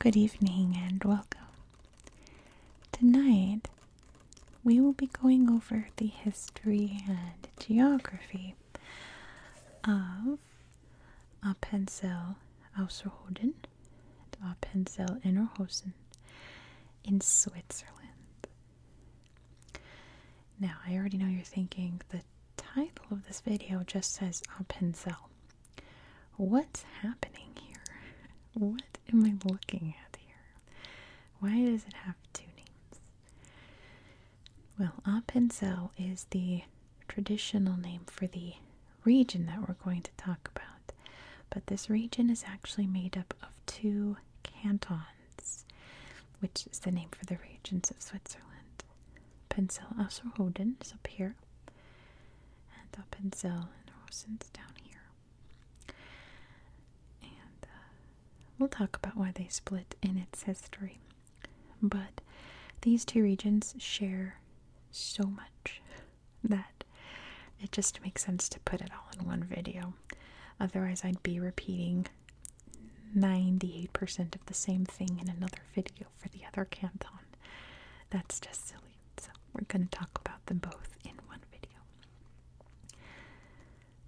Good evening and welcome. Tonight we will be going over the history and geography of Appenzell Ausserrhoden and Appenzell Innerhosen in Switzerland. Now, I already know you're thinking the title of this video just says Appenzell. What's happening here? What am I looking at here? Why does it have two names? Well, Appenzell is the traditional name for the region that we're going to talk about, but this region is actually made up of two cantons, which is the name for the regions of Switzerland. Appenzell Asserrhoden is up here, and Appenzell Innerrhoden is down here. And uh, we'll talk about why they split in its history. But these two regions share so much that it just makes sense to put it all in one video. Otherwise, I'd be repeating 98% of the same thing in another video for the other canton. That's just silly. So, we're going to talk about them both in one video.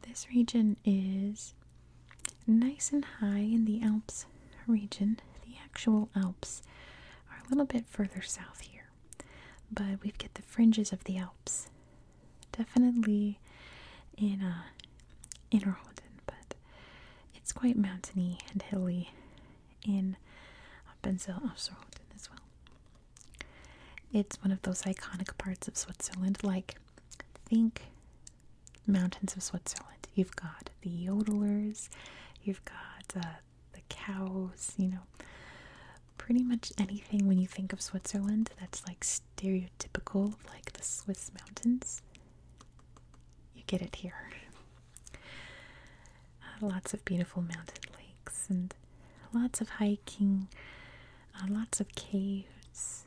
This region is nice and high in the Alps region. The actual Alps are a little bit further south here, but we have got the fringes of the Alps. Definitely in uh, Innerrhoden, but it's quite mountainy and hilly in up Benzel Afsroden as well. It's one of those iconic parts of Switzerland, like think mountains of Switzerland. You've got the yodelers, you've got uh, the cows, you know, pretty much anything when you think of Switzerland that's like stereotypical like the Swiss mountains. You get it here. Uh, lots of beautiful mountain lakes and Lots of hiking, uh, lots of caves.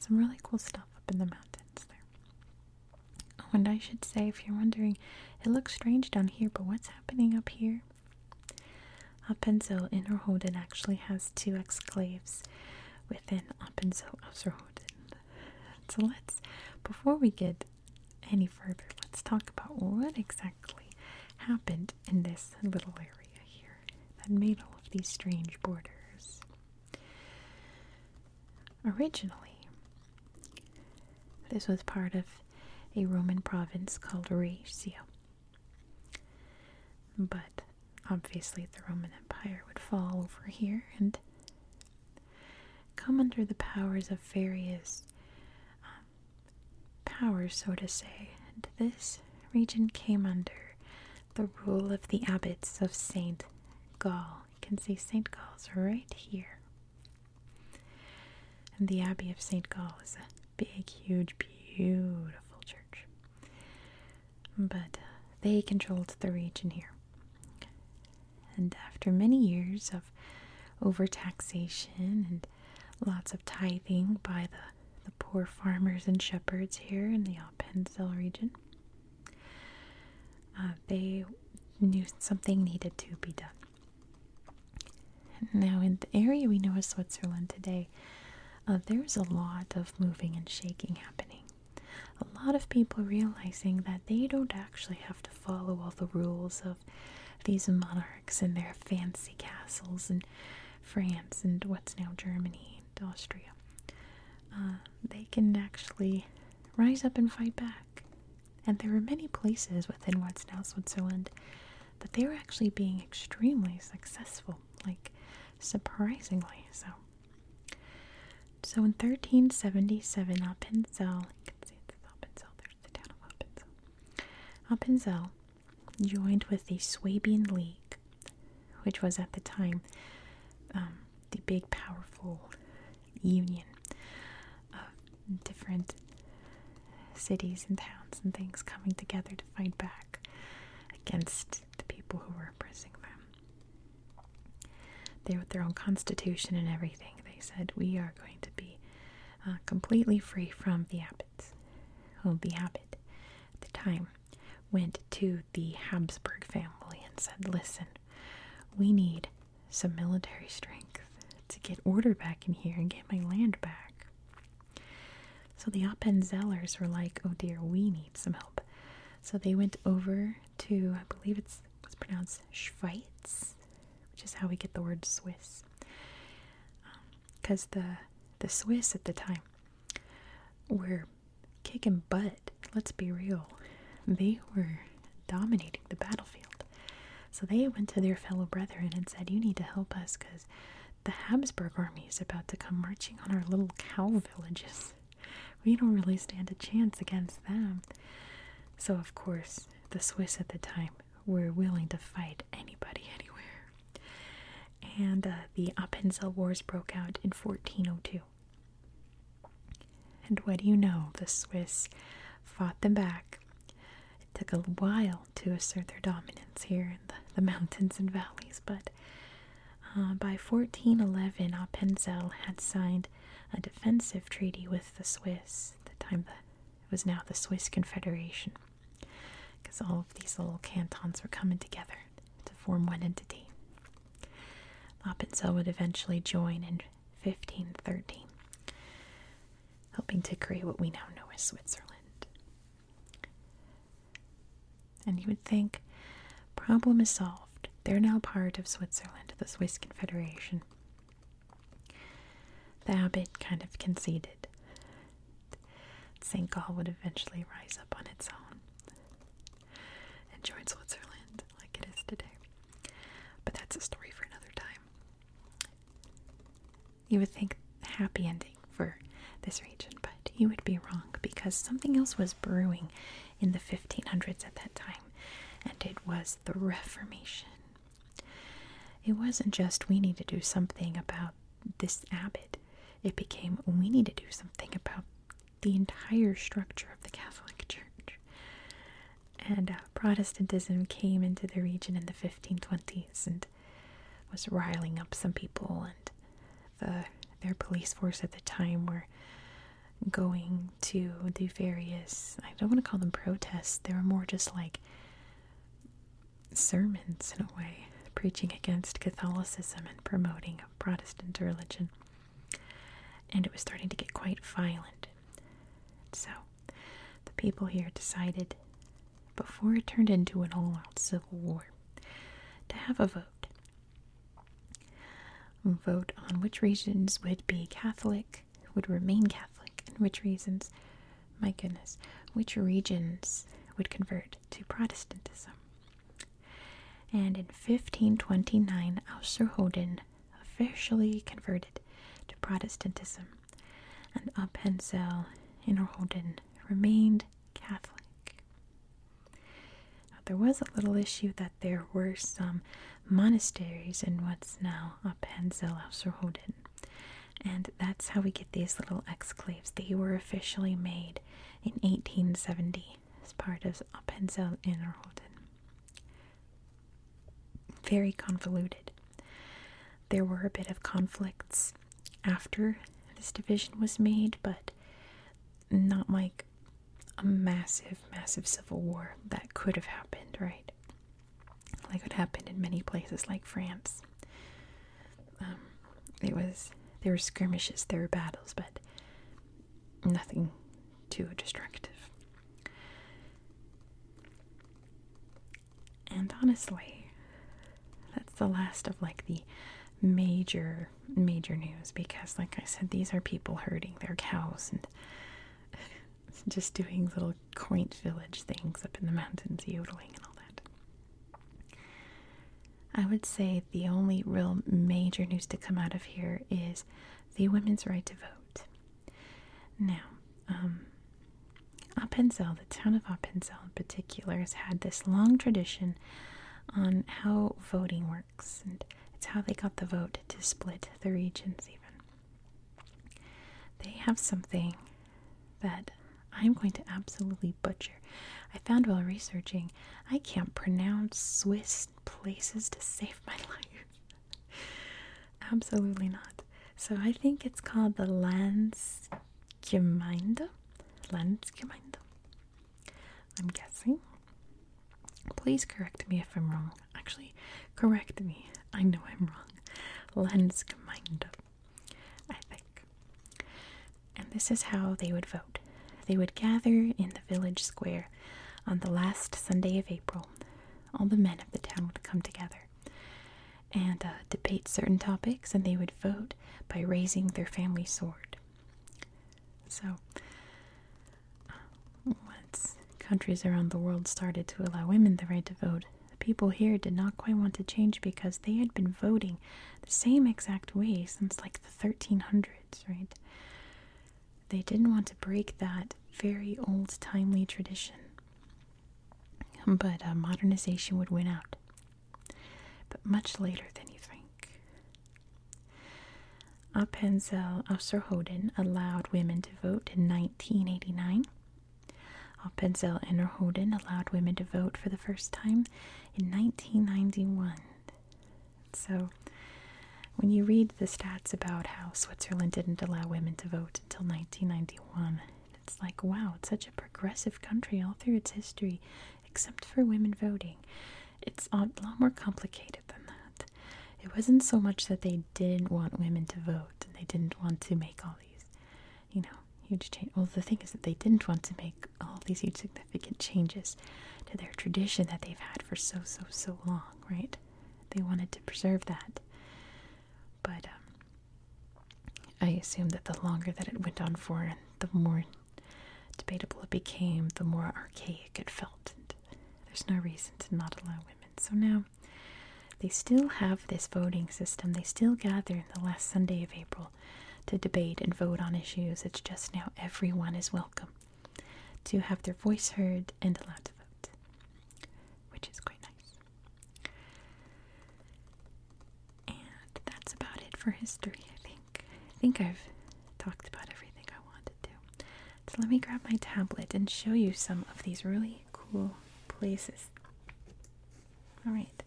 Some really cool stuff up in the mountains there. and I should say, if you're wondering, it looks strange down here, but what's happening up here? Appenzell Innerrhoden actually has two exclaves within Appenzell Ausserrhoden. So let's, before we get any further, let's talk about what exactly happened in this little area here that made all of these strange borders. Originally, this was part of a Roman province called Raetia. But obviously, the Roman Empire would fall over here and come under the powers of various um, power, so to say, and this region came under the rule of the abbots of St. Gall. You can see St. Gall's right here. And the Abbey of St. Gall is a big, huge, beautiful church. But uh, they controlled the region here. And after many years of overtaxation and lots of tithing by the, the poor farmers and shepherds here in the Appenzell region. Uh, they knew something needed to be done. Now, in the area we know as Switzerland today, uh, there's a lot of moving and shaking happening. A lot of people realizing that they don't actually have to follow all the rules of these monarchs and their fancy castles in France and what's now Germany and Austria. Uh, they can actually rise up and fight back. And there are many places within what's now Switzerland that they are actually being extremely successful, like surprisingly so. So in 1377, Appenzell, you can see it's Appenzell, there's the town of Appenzell. Appenzell joined with the Swabian League, which was at the time um, the big powerful union of different cities and towns and things coming together to fight back against the people who were oppressing them. They, had their own constitution and everything, they said, We are going to be uh, completely free from the app." habits, the habit at the time, went to the Habsburg family and said, listen, we need some military strength to get order back in here and get my land back. So the Appenzellers were like, oh dear, we need some help. So they went over to, I believe it's, it's pronounced Schweiz, which is how we get the word Swiss. Um, because the the Swiss at the time were kicking butt. Let's be real; they were dominating the battlefield. So they went to their fellow brethren and said, "You need to help us because the Habsburg army is about to come marching on our little cow villages. We don't really stand a chance against them." So of course, the Swiss at the time were willing to fight anybody anywhere. And uh, the Appenzell Wars broke out in 1402. And what do you know? The Swiss fought them back. It took a while to assert their dominance here in the, mountains and valleys, but uh, by 1411, Appenzell had signed a defensive treaty with the Swiss. At the time, the, was now the Swiss Confederation because all of these little cantons were coming together to form one entity. Appenzell would eventually join in 1513, helping to create what we now know as Switzerland. And you would think, problem is solved. They're now part of Switzerland, the Swiss Confederation. The abbot kind of conceded. St. Gall would eventually rise up on its own and join Switzerland like it is today. But that's a story for another time. You would think happy ending for this region, but you would be wrong because something else was brewing in the 1500s at that time, and it was the Reformation. It wasn't just we need to do something about this abbot, it became we need to do something about the entire structure of the Catholic Church. And uh, Protestantism came into the region in the 1520s and was riling up some people, and the uh, their police force at the time were going to the various I don't want to call them protests, they were more just like sermons in a way, preaching against Catholicism and promoting Protestant religion. And it was starting to get quite violent. So the people here decided, before it turned into an all out civil war, to have a vote. Vote on which regions would be Catholic would remain Catholic and which reasons, my goodness, which regions would convert to Protestantism. And in 1529, Austerhoden officially converted to Protestantism, and Appenzell Innerhoden remained Catholic. there was a little issue that there were some monasteries in what's now Appenzell Austerhoden, and that's how we get these little exclaves. They were officially made in 1870 as part of Appenzell Innerrhoden. Very convoluted. There were a bit of conflicts after this division was made, but not like a massive, massive civil war that could have happened, right? like what happened in many places like France. Um, it was there were skirmishes, there were battles, but nothing too destructive. And honestly, that's the last of like the major major news because like I said these are people herding their cows and just doing little quaint village things up in the mountains, yodeling and all that. I would say the only real major news to come out of here is the women's right to vote. Now, um, Appenzell, the town of Appenzell in particular, has had this long tradition on how voting works, and it's how they got the vote to split the regions, even. They have something that I'm going to absolutely butcher. I found while researching, I can't pronounce Swiss places to save my life. absolutely not. So I think it's called the Landsgemeinde. Landsgemeinde. I'm guessing. Please correct me if I'm wrong. Actually, correct me. I know I'm wrong. Landsgemeinde, I think. And this is how they would vote. They would gather in the village square on the last Sunday of April. All the men of the town would come together and uh, debate certain topics, and they would vote by raising their family sword. So, uh, countries around the world started to allow women the right to vote, the people here did not quite want to change because they had been voting the same exact way since like the 1300s, right? They didn't want to break that very old timely tradition. But uh, modernization would win out. But much later than you think. Appenzell Ausserrhoden allowed women to vote in 1989. Oppenzel and Rohoden allowed women to vote for the first time in 1991. So, when you read the stats about how Switzerland didn't allow women to vote until 1991, it's like, wow, it's such a progressive country all through its history, except for women voting. It's a lot more complicated than that. It wasn't so much that they didn't want women to vote and they didn't want to make all these, you know, huge change. Well, the thing is that they didn't want to make all these huge significant changes to their tradition that they've had for so, so, so long, right? They wanted to preserve that. But um, I assume that the longer that it went on for and the more debatable it became, the more archaic it felt. there's no reason to not allow women. So now they still have this voting system. They still gather in the last Sunday of April to debate and vote on issues. It's just now everyone is welcome to have their voice heard and allowed to vote, which is quite nice. And that's about it for history, I think. I think I've talked about everything I want so let me grab my tablet and show you some of these really cool places. All right.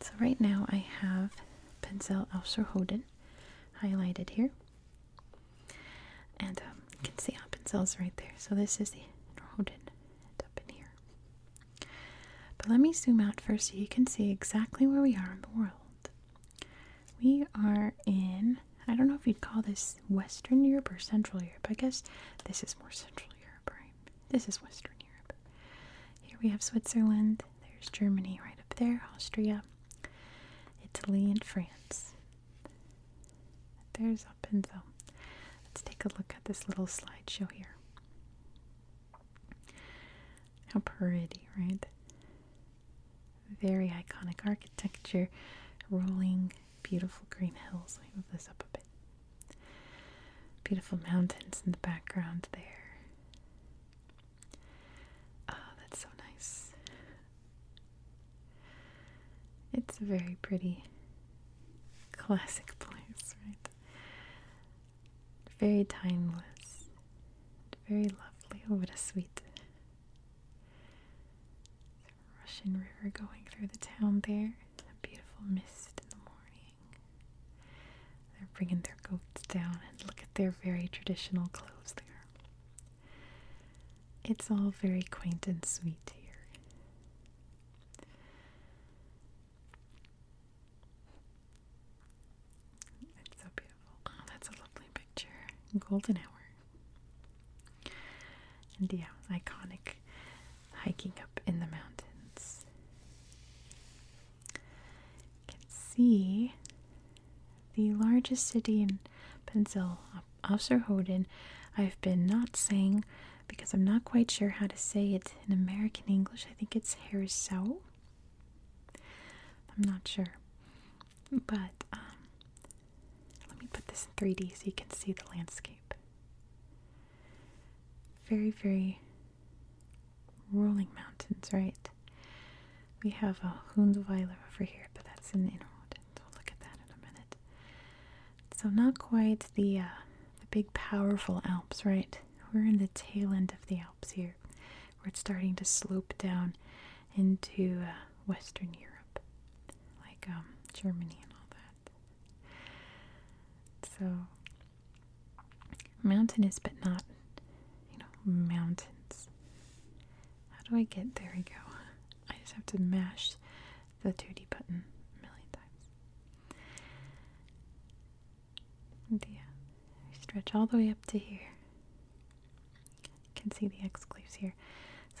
So right now I have Pinsel Ausserhoden highlighted here. And um, you can see how right there. So this is the Norhoden up in here. But let me zoom out first so you can see exactly where we are in the world. We are in I don't know if you'd call this Western Europe or Central Europe. I guess this is more Central Europe, right? This is Western Europe. Here we have Switzerland. There's Germany right up there, Austria, Italy, and France. There's up and so. Let's take a look at this little slideshow here. How pretty, right? Very iconic architecture, rolling, beautiful green hills. move this up a bit. Beautiful mountains in the background there. Oh, that's so nice. It's very pretty classic place, right? Very timeless, very lovely. Oh, what a sweet Russian River going through the town there. A beautiful mist in the morning. They're bringing their goats down and look at their very traditional clothes there. It's all very quaint and sweet here. It's so beautiful. Oh, that's a lovely picture. Golden hour. And yeah, iconic hiking up in the mountains. You can see the largest city in Pensil, Officer Hoden. I've been not saying because I'm not quite sure how to say it in American English. I think it's Harrisau. I'm not sure. But um, let me put this in 3D so you can see the landscape. Very, very rolling mountains, right? We have a Hundweiler over here, but that's in Innerrhoden. We'll look at that in a minute. So not quite the uh, the big powerful Alps, right? We're in the tail end of the Alps here, where it's starting to slope down into uh, Western Europe, like um, Germany and all that. So, mountainous, but not, you know, mountains. How do I get there? We go. I just have to mash the 2D button a million times. yeah, stretch all the way up to here. You can see the exclaves here.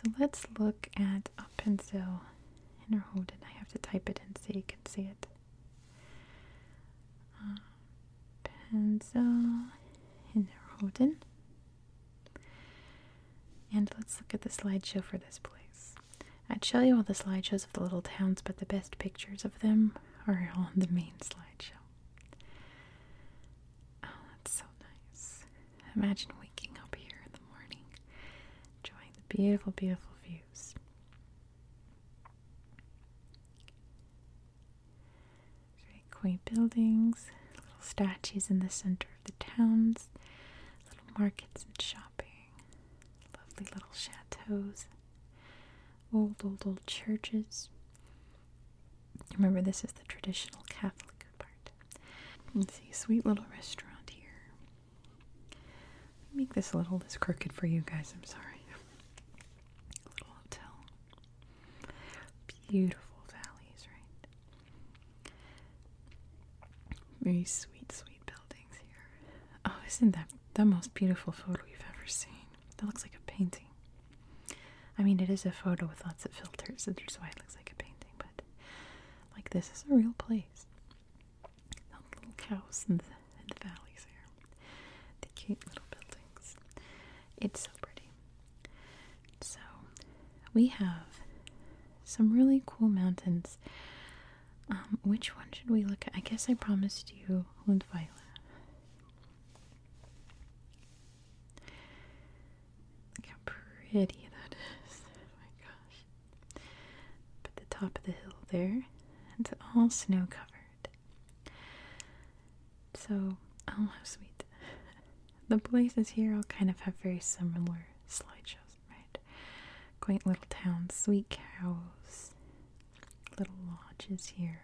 So let's look at a pencil and hold it. I have to type it in so you can see it. Uh, pencil in Holden. And let's look at the slideshow for this place. I'd show you all the slideshows of the little towns, but the best pictures of them are on the main slideshow. Oh, that's so nice. Imagine waking up here in the morning, enjoying the beautiful, beautiful views. Very quaint buildings, little statues in the center of the towns, little markets and shopping, lovely little chateaus old, old, old churches. Remember, this is the traditional Catholic part. Let's see, sweet little restaurant here. make this a little less crooked for you guys, I'm sorry. little hotel. Beautiful valleys, right? Very sweet, sweet buildings here. Oh, isn't that the most beautiful photo you've ever seen? That looks like a painting. I mean, it is a photo with lots of filters, which is why it looks like a painting, but like this is a real place. The little cows in the, valleys here, the cute little buildings. It's so pretty. So, we have some really cool mountains. Um, which one should we look at? I guess I promised you Lundvila. Look how pretty that is. Oh my gosh. But the top of the hill there, it's all snow covered. So, oh how sweet. the places here all kind of have very similar slideshows, right? Quaint little towns, sweet cows, little lodges here.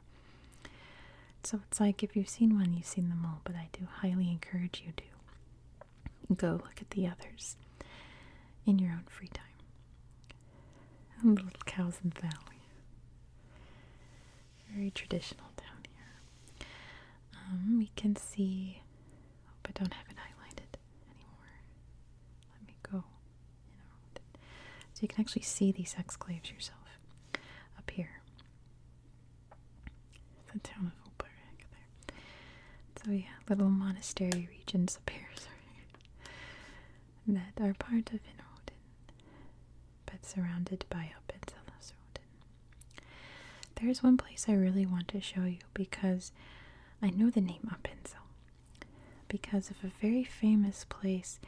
So it's like if you've seen one, you've seen them all, but I do highly encourage you to go look at the others in your own free time. And the little cows in the valley. Very traditional down here. Um, we can see, oh, but don't have it highlighted anymore. Let me go. You know, so you can actually see these exclaves yourself up here. it's a town of Oberek there. So yeah, little monastery regions up here, sorry, that are part of Inroden, but surrounded by up There's one place I really want to show you because I know the name Appenzell because of a very famous place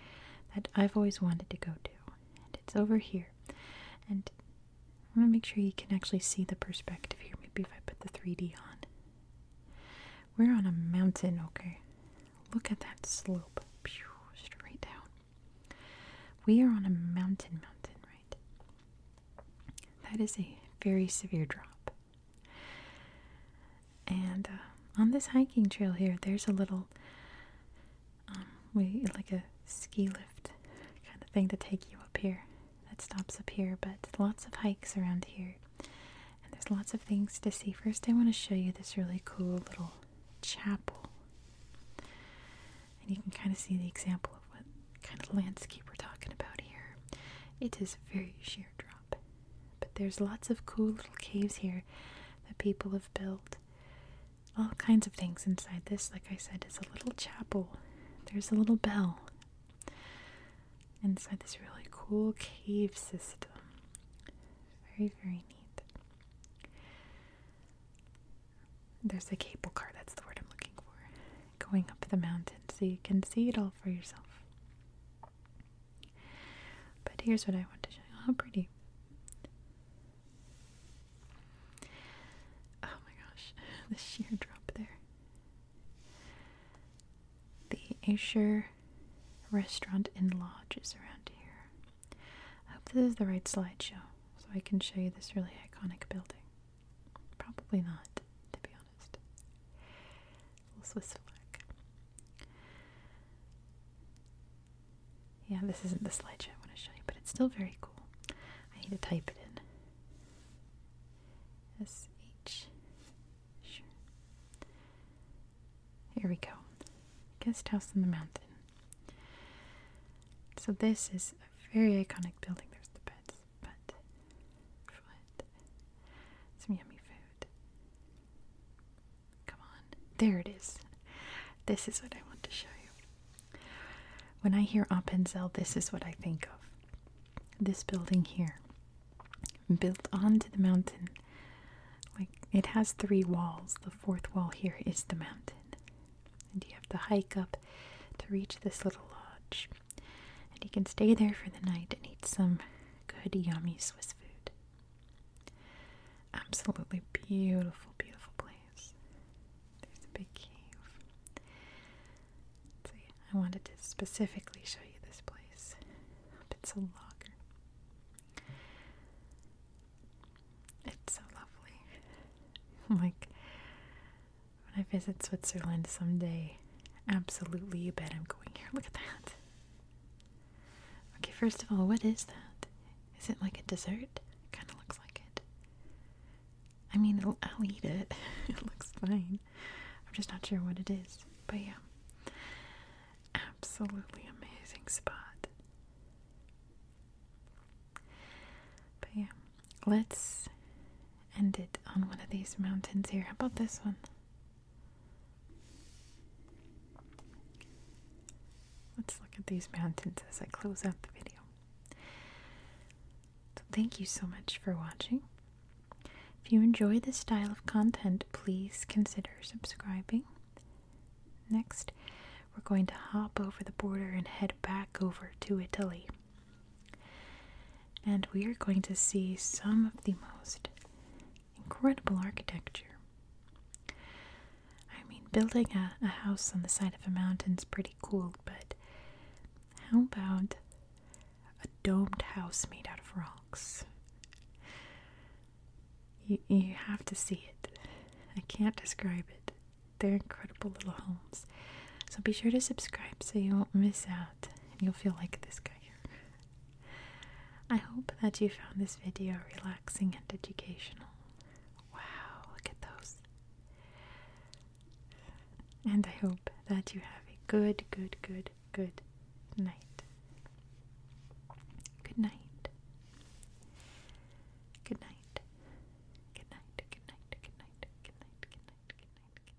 that I've always wanted to go to. And it's over here. And I'm going to make sure you can actually see the perspective here. Maybe if I put the 3D on. We're on a mountain, okay? Look at that slope. straight down. We are on a mountain, mountain, right? That is a very severe drop. And uh, on this hiking trail here, there's a little, um, like a ski lift kind of thing to take you up here. That stops up here, but lots of hikes around here. And there's lots of things to see. First, I want to show you this really cool little chapel. And you can kind of see the example of what kind of landscape we're talking about here. It is a very sheer drop. But there's lots of cool little caves here that people have built. All kinds of things inside this, like I said, is a little chapel. There's a little bell inside this really cool cave system. Very, very neat. There's a cable car, that's the word I'm looking for, going up the mountain so you can see it all for yourself. But here's what I want to show you. How pretty. Oh my gosh, the sheer drop there. The Azure Restaurant and Lodge is around here. I hope this is the right slideshow so I can show you this really iconic building. Probably not, to be honest little Swiss flag. Yeah, this isn't the slideshow I want to show you, but it's still very cool. I need to type it in. S H. Here we go. Guest house in the mountain. So this is a very iconic building. There's the beds, but foot. Some yummy food. Come on. There it is. This is what I want to show you. When I hear Appenzell, this is what I think of. This building here, built onto the mountain. Like it has three walls. The fourth wall here is the mountain. And you have to hike up to reach this little lodge. And you can stay there for the night and eat some good, yummy Swiss food. Absolutely beautiful, beautiful place. There's a big cave. So I wanted to specifically show you this place. It's a logger. It's so lovely. like when I visit Switzerland someday, absolutely you bet I'm going here. Look at that. Okay, first of all, what is that? Is it like a dessert? It kind of looks like it. I mean, I'll eat it. it looks fine. I'm just not sure what it is. But yeah. Absolutely amazing spot. But yeah. Let's end it on one of these mountains here. How about this one? Let's look at these mountains as I close out the video. thank you so much for watching. If you enjoy this style of content, please consider subscribing. Next, we're going to hop over the border and head back over to Italy. And we are going to see some of the most Incredible architecture. I mean, building a, house on the side of a mountain's pretty cool, but how about a domed house made out of rocks? You, you have to see it. I can't describe it. They're incredible little homes. So be sure to subscribe so you won't miss out. You'll feel like this guy here. I hope that you found this video relaxing and educational. Wow, look at those. And I hope that you have a good, good, good, good night. Good night. Good night. Good night. Good night. Good night. Good night. Good night. Good night. Good night. Good night. Good night.